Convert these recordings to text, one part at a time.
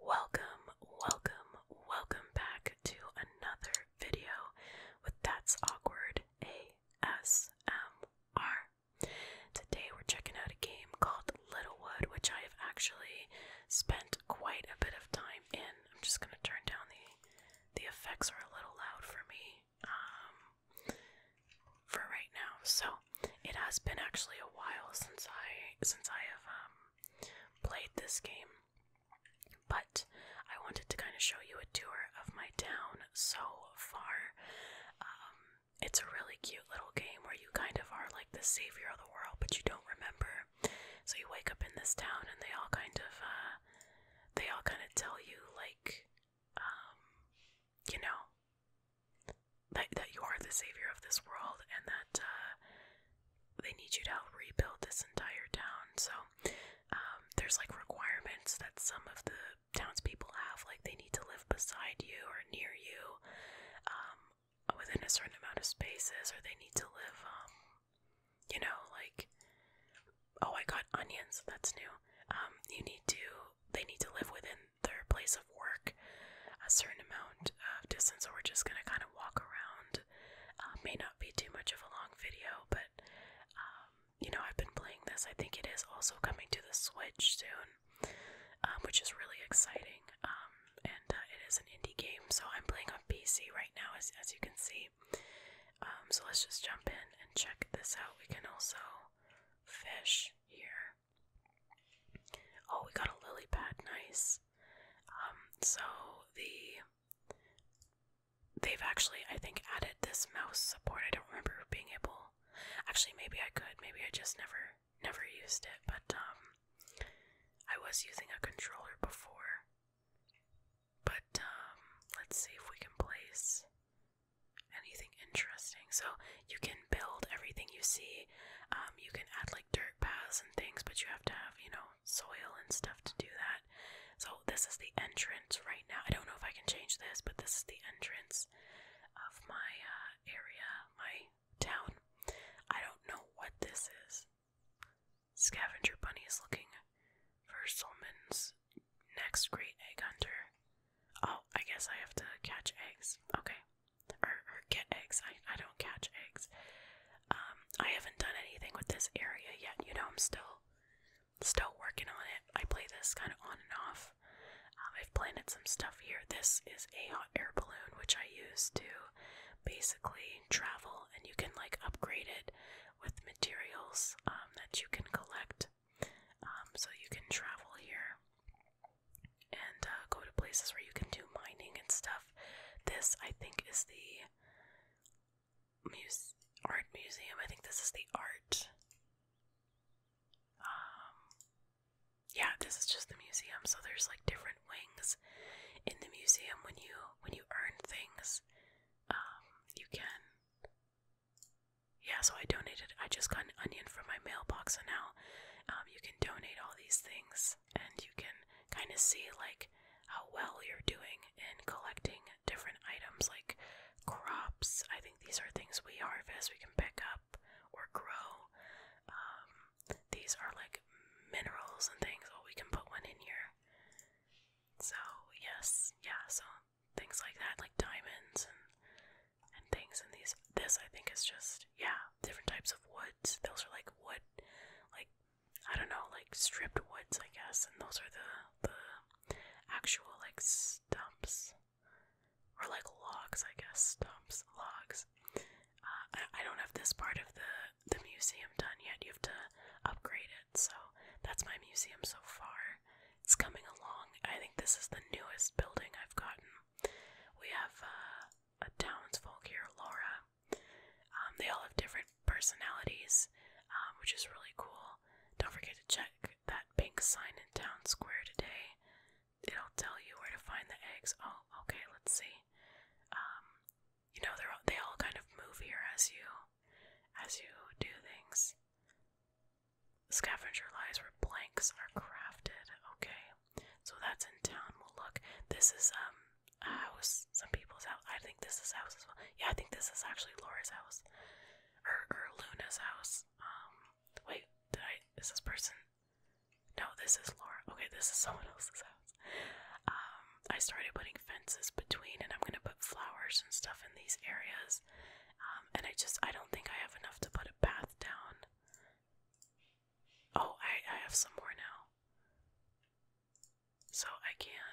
Welcome, welcome, welcome back to another video with That's Awkward ASMR. Today we're checking out a game called Littlewood, which I have actually spent quite a bit of time in. I'm just going to turn down the the effects are a little loud for me um, for right now. So it has been actually a while since I since I have um, played this game, but I wanted to kind of show you a tour of my town so far. Um, it's a really cute little game where you kind of are like the savior of the world, but you don't remember. So you wake up in this town, and they all kind of uh, they all kind of tell you like um, you know that that you are the savior of this world and that uh, they need you to help rebuild this entire town. So um, there's like requirements that some of the townspeople have, like they need to live beside you or near you, um, within a certain amount of spaces, or they need to live you know, like, oh, I got onions, that's new. Um, you need to, they need to live within their place of work a certain amount of distance, so we're just gonna kind of walk around. Uh, may not be too much of a long video, but, um, you know, I've been playing this. I think it is also coming to the Switch soon, um, which is really exciting. and uh, it is an indie game, so I'm playing on PC right now, as, as you can see. Um, so let's just jump in and check this out. We can also fish here. Oh, we got a lily pad, nice. Um, so the they've actually I think added this mouse support. I don't remember being able actually maybe I could, maybe I just never never used it, but um I was using a controller before but um, let's see if we can place anything interesting. So you can build everything you see. Um, you can add like dirt paths and things, but you have to have, you know, soil and stuff to do that. So this is the entrance right now. I don't know if I can change this, but this is the entrance of my uh, area, my town. I don't know what this is. Scavenger Bunny is looking for Solman's next great egg hunter. Oh, I guess I have to catch eggs. Okay. Or, or get eggs. I, I don't catch eggs. Um, I haven't done anything with this area yet. You know, I'm still still working on it. I play this kind of on and off. Um, I've planted some stuff here. This is a hot air balloon, which I use to basically travel, and you can like upgrade it with materials um, that you can collect. Um, so you can travel here and uh, go to places where you can do mining and stuff. This, I think, is the muse art museum. I think this is the art. Um, yeah, this is just the museum. So there's like different wings in the museum. When you when you earn things, um, you can yeah, so I donated. I just got an onion from my mailbox, so now um, you can donate all these things, and you can kind of see like how well you're doing in collecting different items like crops. I think these are things we harvest, we can pick up or grow. Um, these are like minerals and things. Oh, we can put one in here. So yes, yeah, so things like that, like diamonds and and things and these this I think is just yeah, different types of woods. Those are like wood like I don't know, like stripped woods I guess, and those are the the actual like stumps or like logs I guess, stumps, logs. Uh, I, I don't have this part of the the museum done yet. You have to upgrade it. So that's my museum so far. It's coming along. I think this is the newest building I've gotten. We have uh, a townsfolk here, Laura. Um, they all have different personalities, um, which is really cool. Don't forget to check that pink sign in town square today. It'll tell you where to find the eggs. Oh, okay. Let's see. Um, you know, they all kind of move here as you as you do things. Scavenger lies where blanks are crafted. Okay, so that's in town. We'll look. This is um a house. Some people's house. I think this is house as well. Yeah, I think this is actually Laura's house, or or Luna's house. Um, wait, did I? This Is person? No, this is Laura. Okay, this is someone else's house. Um, I started putting fences between, and I'm gonna put flowers and stuff in these areas. Um, and I just I don't think I have enough to put a path down. Oh, I I have some more now, so I can.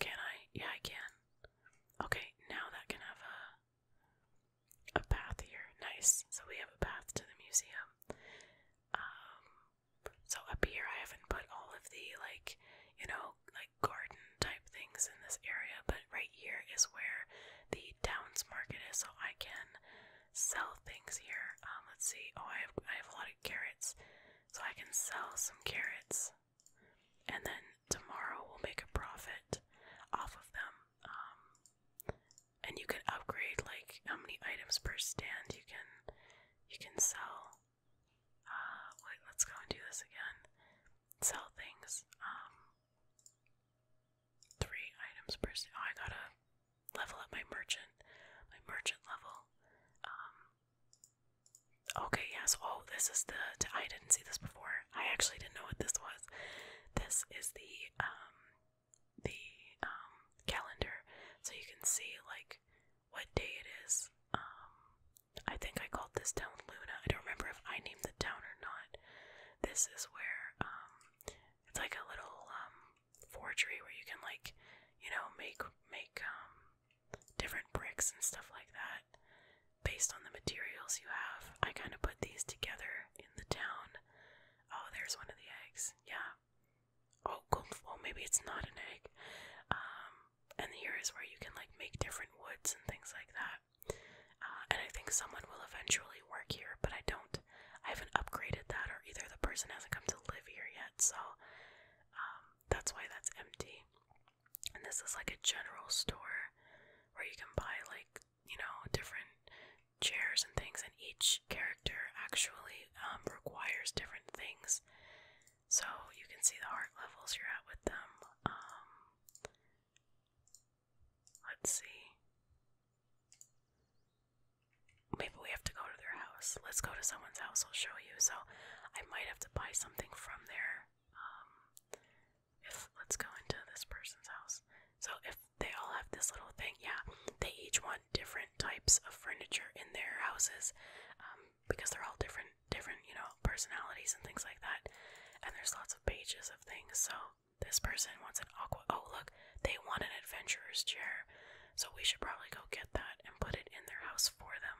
Can I? Yeah, I can. Okay, now that can have a a path here. Nice. So we have a path to the museum. Um, so up here I haven't put all of the like, you know, like garden type things in this area, but right here is where the town's market is, so I can sell things here. Um, let's see. Oh, I have I have a lot of carrots, so I can sell some carrots, and then tomorrow we'll make a profit off of them. Um, and you can upgrade like how many items per stand you can you can sell. Uh, wait, let's go and do this again. Sell things. Um, three items per. Oh, I gotta level up my merchant. My merchant level. Um. Okay. Yes. Oh, this is the. I didn't see this before. I actually didn't know what this was. This is the um the um calendar, so you can see like what day it is. Um, I think I called this town Luna. I don't remember if I named the town or not. This is where um, it's like a little um, forgery where you can like, you know, make make um, different bricks and stuff like that based on the materials you have. I kind of put these together in the town. Oh, there's one of the eggs. Yeah oh well maybe it's not an egg um and here is where you can like make different woods and things like that uh, and i think someone will eventually work here but i don't i haven't upgraded that or either the person hasn't come to live here yet so um that's why that's empty and this is like a general store where you can buy like you know different chairs and things and each character actually um, requires different things. So you can see the heart levels you're at with them. Um, let's see. Maybe we have to go to their house. Let's go to someone's house. I'll show you. So I might have to buy something from there. Um, if let's go into this person's house. So if they all have this little thing, yeah, they each want different types of furniture in their houses um, because they're all different, different, you know, personalities and things like that. And there's lots of pages of things. So this person wants an aqua. Oh, look, they want an adventurer's chair. So we should probably go get that and put it in their house for them.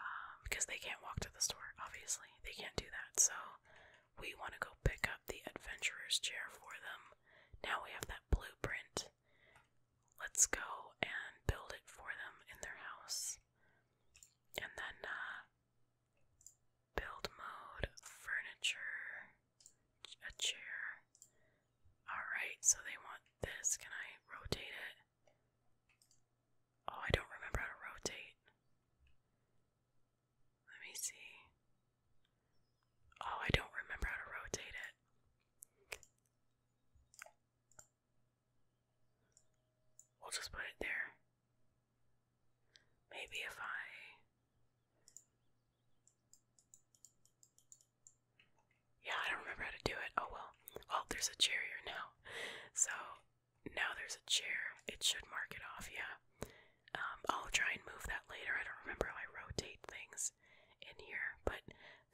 Um, because they can't walk to the store, obviously. They can't do that. So we want to go pick up the adventurer's chair for them. Now we have that blueprint. Let's go and build it for them in their house. And then uh, build mode, furniture, a chair. Alright, so they want this. Can I rotate it? Oh, I don't remember how to rotate. Let me see. Oh, I don't remember how to rotate it. We'll just put it there. Maybe if I. Yeah, I don't remember how to do it. Oh well. Well, oh, there's a chair here now. So now there's a chair. It should mark it off, yeah. Um, I'll try and move that later. I don't remember how I rotate things in here, but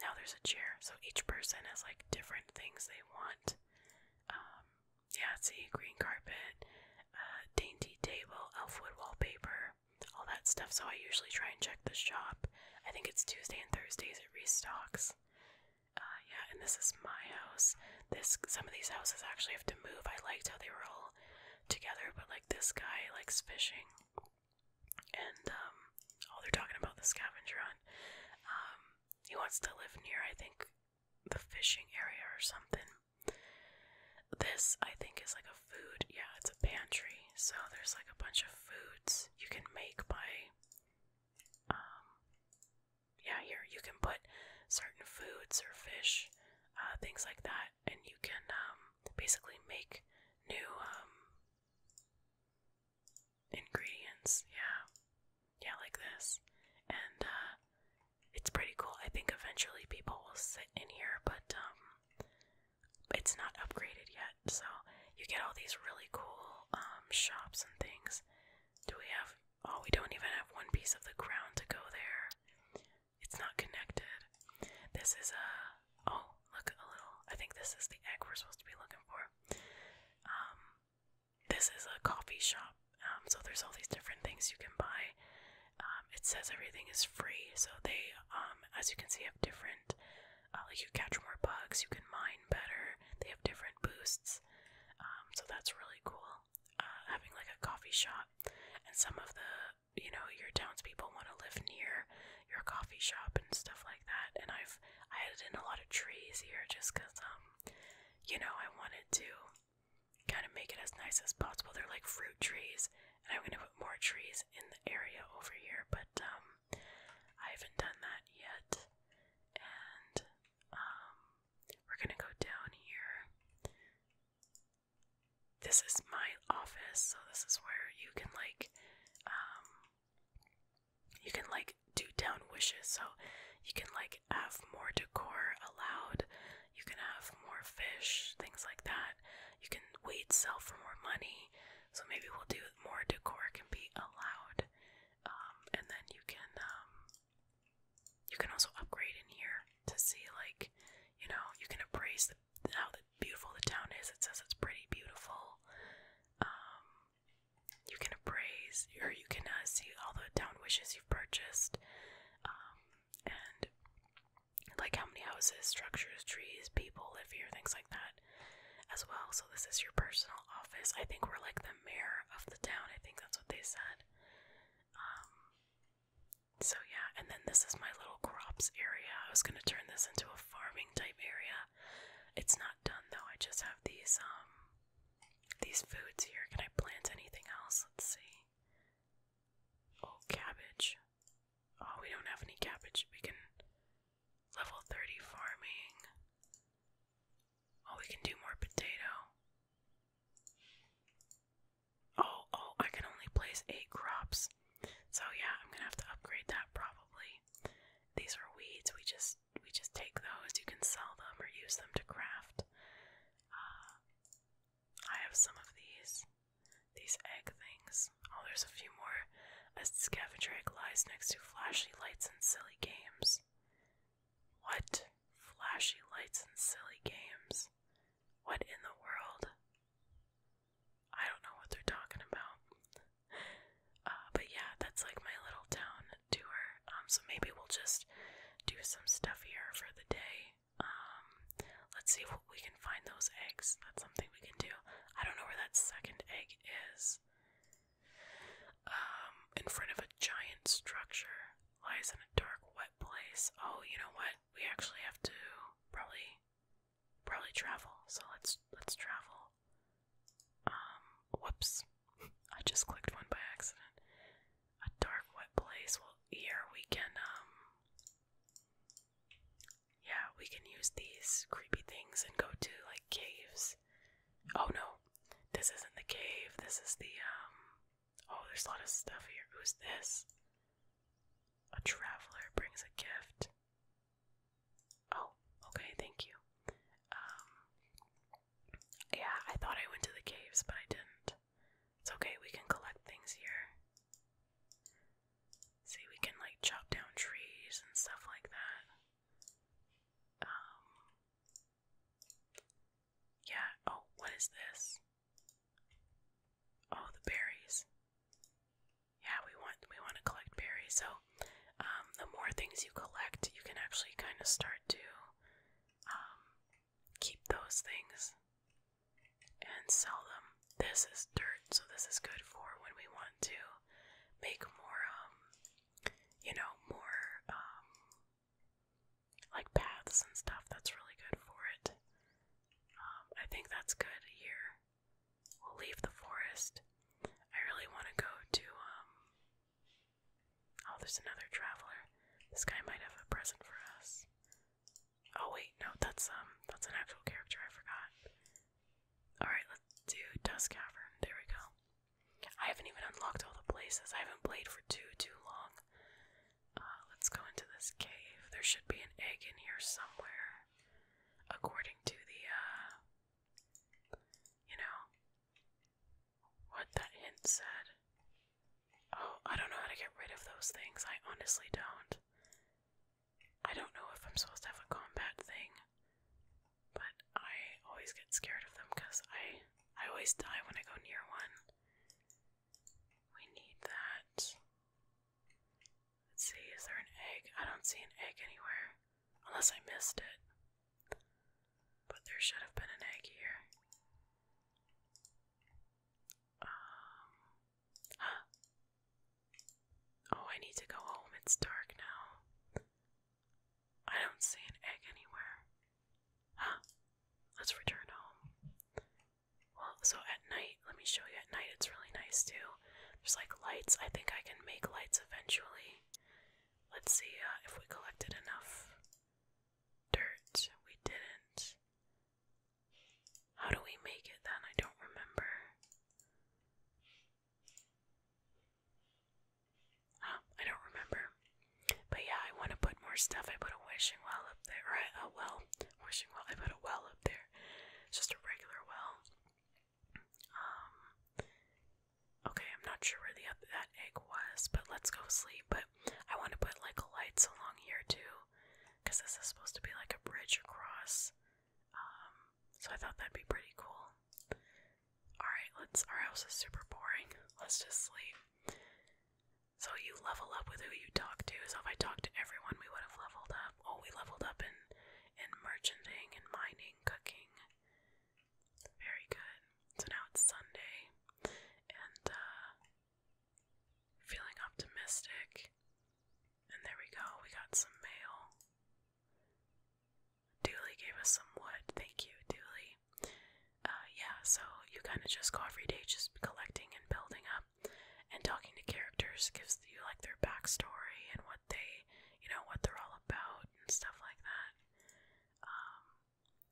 now there's a chair, so each person has like different things they want. Um, yeah, see, green carpet, uh, dainty table, elfwood wallpaper, all that stuff. So I usually try and check the shop. I think it's Tuesday and Thursdays it restocks. Uh, yeah, and this is my house. This some of these houses actually have to move. I liked how they were all together, but like this guy likes fishing and all um, oh, they're talking about the scavenger hunt. Um, he wants to live near, I think, the fishing area or something. This, I think, is like a food. Yeah, it's a pantry. So there's like a bunch of foods you can make by. Um, yeah, here you can put certain foods or fish, uh, things like that, and you can basically make new ingredients, yeah. Yeah, like this. And uh it's pretty cool. I think eventually people will sit in here, but um it's not upgraded yet. So you get all these really cool um shops and things. Do we have oh we don't even have one piece of the ground to go there. It's not connected. This is a Oh, look a little. I think this is the egg we're supposed to be looking for. Um, this is a coffee shop, um, so there's all these different things you can buy. Um, it says everything is free, so they, um, as you can see, have different. Uh, like you catch more bugs, you can mine better. They have different boosts, um, so that's really cool. Uh, having like a coffee shop, and some of the you know your townspeople want to live near your coffee shop and stuff like that. And I've I added in a lot of trees here just because um you know I wanted to kind of make it as nice as possible. They're like fruit trees, and I'm gonna put more trees in the area over here. But um I haven't done that yet. And um we're gonna go down here this is my office, so this is where you can like um you can like do down wishes, so you can like have more decor allowed, you can have more fish, things like that. You can wait sell for more money, so maybe we'll do more decor can be allowed. Um, and then you can um you can also upgrade in here to see like you know, you can appraise just the, how the, beautiful the town is. It says it's pretty beautiful. Um, you can appraise, or you can uh, see all the town wishes you've purchased, um, and like how many houses, structures, trees, people live here, things like that, as well. So this is your personal office. I think we're like the mayor of the town. I think that's what they said. Um, so yeah, and then this is my little crops area. I was gonna turn this into a farm living type area. It's not done though. I just have these um these foods here. Can I plant anything else? Let's see. Oh, cabbage. Oh, we don't have any cabbage. We can level 30 farming. Oh, we can do more potato. Oh, oh, I can only place eight crops. So yeah, I'm gonna have to upgrade that probably. These are weeds. We just we just take those. You can sell them or use them to craft. Uh, I have some of these. These egg things. Oh, there's a few more. A scavenger egg lies next to flashy lights and silly games. What? Flashy lights and silly games. What in the world? I don't know what they're talking about. Uh, but yeah, that's like my little town tour. Um, so maybe we'll just do some stuff here for the day. Um, let's see if we can find those eggs. That's something we can do. I don't know where that second egg is. Um, in front of a giant structure lies in a dark, wet place. Oh, you know what? We actually have to probably probably travel. So let's let's travel. Um, whoops. I just clicked one by accident. A dark wet place. Well, here we can um Yeah, we can use these creepy things and go to like caves. Oh no. This isn't the cave. This is the um Oh, there's a lot of stuff here. Who's this? A traveler brings a gift. Oh, okay, thank you. Um, yeah, I thought I went to the caves, but I didn't. It's okay, we can collect things here. See, we can like chop down trees and stuff like that. Um, yeah, oh, what is this? Oh, the berries yeah, we want we want to collect berries. So um, the more things you collect, you can actually kind of start to um, keep those things and sell them. This is dirt, so this is good for when we want to make more, um, you know, more um, like paths and stuff. That's really good for it. Um, I think that's good here. We'll leave the forest. I really want to go to, um, Oh, there's another traveler. This guy might have a present for us. Oh, wait, no, that's, um, that's an actual character. I forgot. Alright, let's do dusk Cavern. There we go. I haven't even unlocked all the places. I haven't played for too, too long. Uh, let's go into this cave. There should be an egg in here somewhere according to the uh, you know what that hint said. Oh, I don't know how to get rid of those things. I honestly don't. I don't know if I'm supposed to have a combat thing, but I always get scared of them because I I always die when I go near one. We need that. Let's see, is there an egg? I don't see an egg anywhere. Unless I missed it. But there should have been an egg here. Um. Oh, I need to go home. It's dark now. I don't see an egg anywhere. Huh. Let's return home. Well, so at night, let me show you at night, it's really nice too. There's like lights. I think I can make lights eventually. Let's see uh, if we collected enough dirt. We didn't. How do we make it then? I don't remember. I don't remember. But yeah, I want to put more stuff. I put a wishing well up there. Right, a well. Wishing well. I put a well up there. It's just a regular well. Um, okay, I'm not sure where the other, that egg was, but let's go sleep. But I want to put like lights along here too, because this is supposed to be like a bridge across. Um, so I thought that'd be pretty cool. Alright, let's. Our house is super boring. Let's just sleep. So you level up with who you talk to. So if I talked to everyone, we would have leveled up. Oh, we leveled up in and merchanting and mining, cooking. Very good. So now it's Sunday, and uh, feeling optimistic. And there we go, we got some mail. Dooley gave us some wood. Thank you, Dooley. Uh, yeah, so you kind of just go every day, just collecting and building up. And talking to characters gives you like their backstory and what they, you know, what they're all about and stuff like that. Um,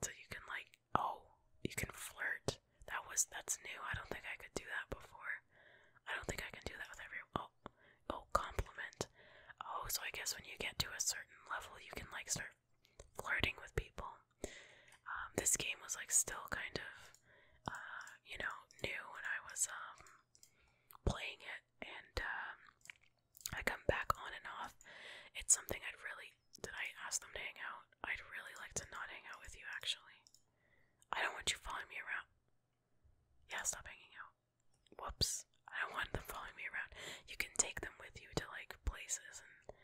so you can like, oh, you can flirt. That was that's new. I don't think I could do that before. I don't think I can do that with everyone. oh oh compliment. Oh, so I guess when you get to a certain level, you can like start flirting with people. Um, this game was like still kind of, uh, you know, new when I was um playing it, and um, I come back on and off. It's something I'd really. Did I ask them to hang out? I'd really like to not hang out with you, actually. I don't want you following me around. Yeah, stop hanging out. Whoops. I don't want them following me around. You can take them with you to like places and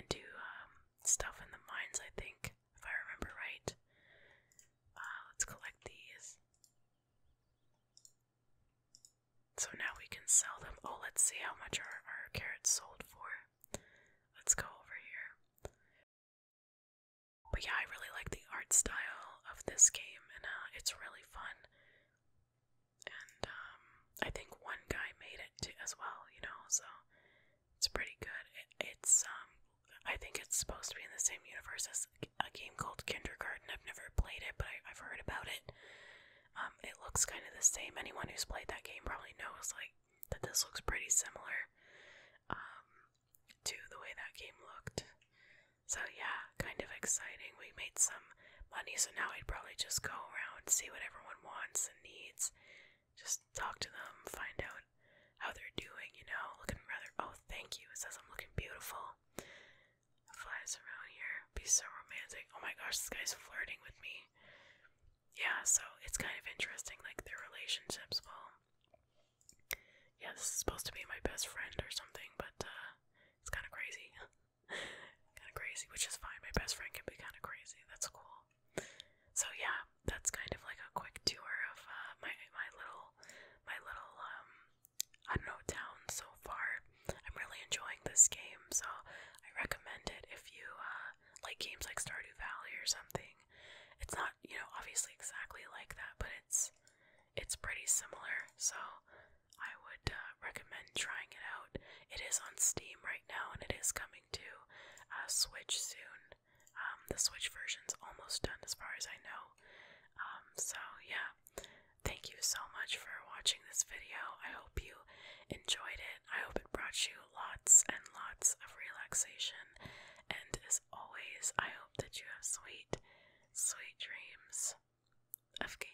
and do um, stuff in the mines. I think if I remember right. Uh, let's collect these. So now we can sell them. Oh, let's see how much our, our carrots sold for. Let's go over here. But yeah, I really like the art style of this game, and uh, it's really fun. And um, I think one guy made it as well, you know, so it's pretty good. it's um, I think it's supposed to be in the same universe as a game called Kindergarten. I've never played it, but I, have heard about it. Um, it looks kind of the same. Anyone who's played that game probably knows, like, that this looks pretty similar um, to the way that game looked. So yeah, kind of exciting. We made some money, so now we would probably just go around, see what everyone wants and needs, just talk to them, find out how they're doing, you know, looking rather, oh, thank you, it says I'm looking beautiful, flies around here, be so romantic, oh my gosh, this guy's flirting with me, yeah, so it's kind of interesting, like, their relationships, well, yeah, this is supposed to be my best friend or something, but, uh, it's kind of crazy, kind of crazy, which is fine, my best friend can be kind of crazy, that's cool, so yeah, that's kind of like a quick tour of uh, my my little my little um, I don't know town so far. I'm really enjoying this game, so I recommend it if you uh, like games like Stardew Valley or something. It's not you know obviously exactly like that, but it's it's pretty similar. So I would uh, recommend trying it out. It is on Steam right now, and it is coming to Switch soon. Um, the Switch version's almost done as far as I know. Um, so yeah, thank you so much for watching this video. I hope you enjoyed it. I hope it brought you lots and lots of relaxation. And as always, I hope that you have sweet, sweet dreams of gaming.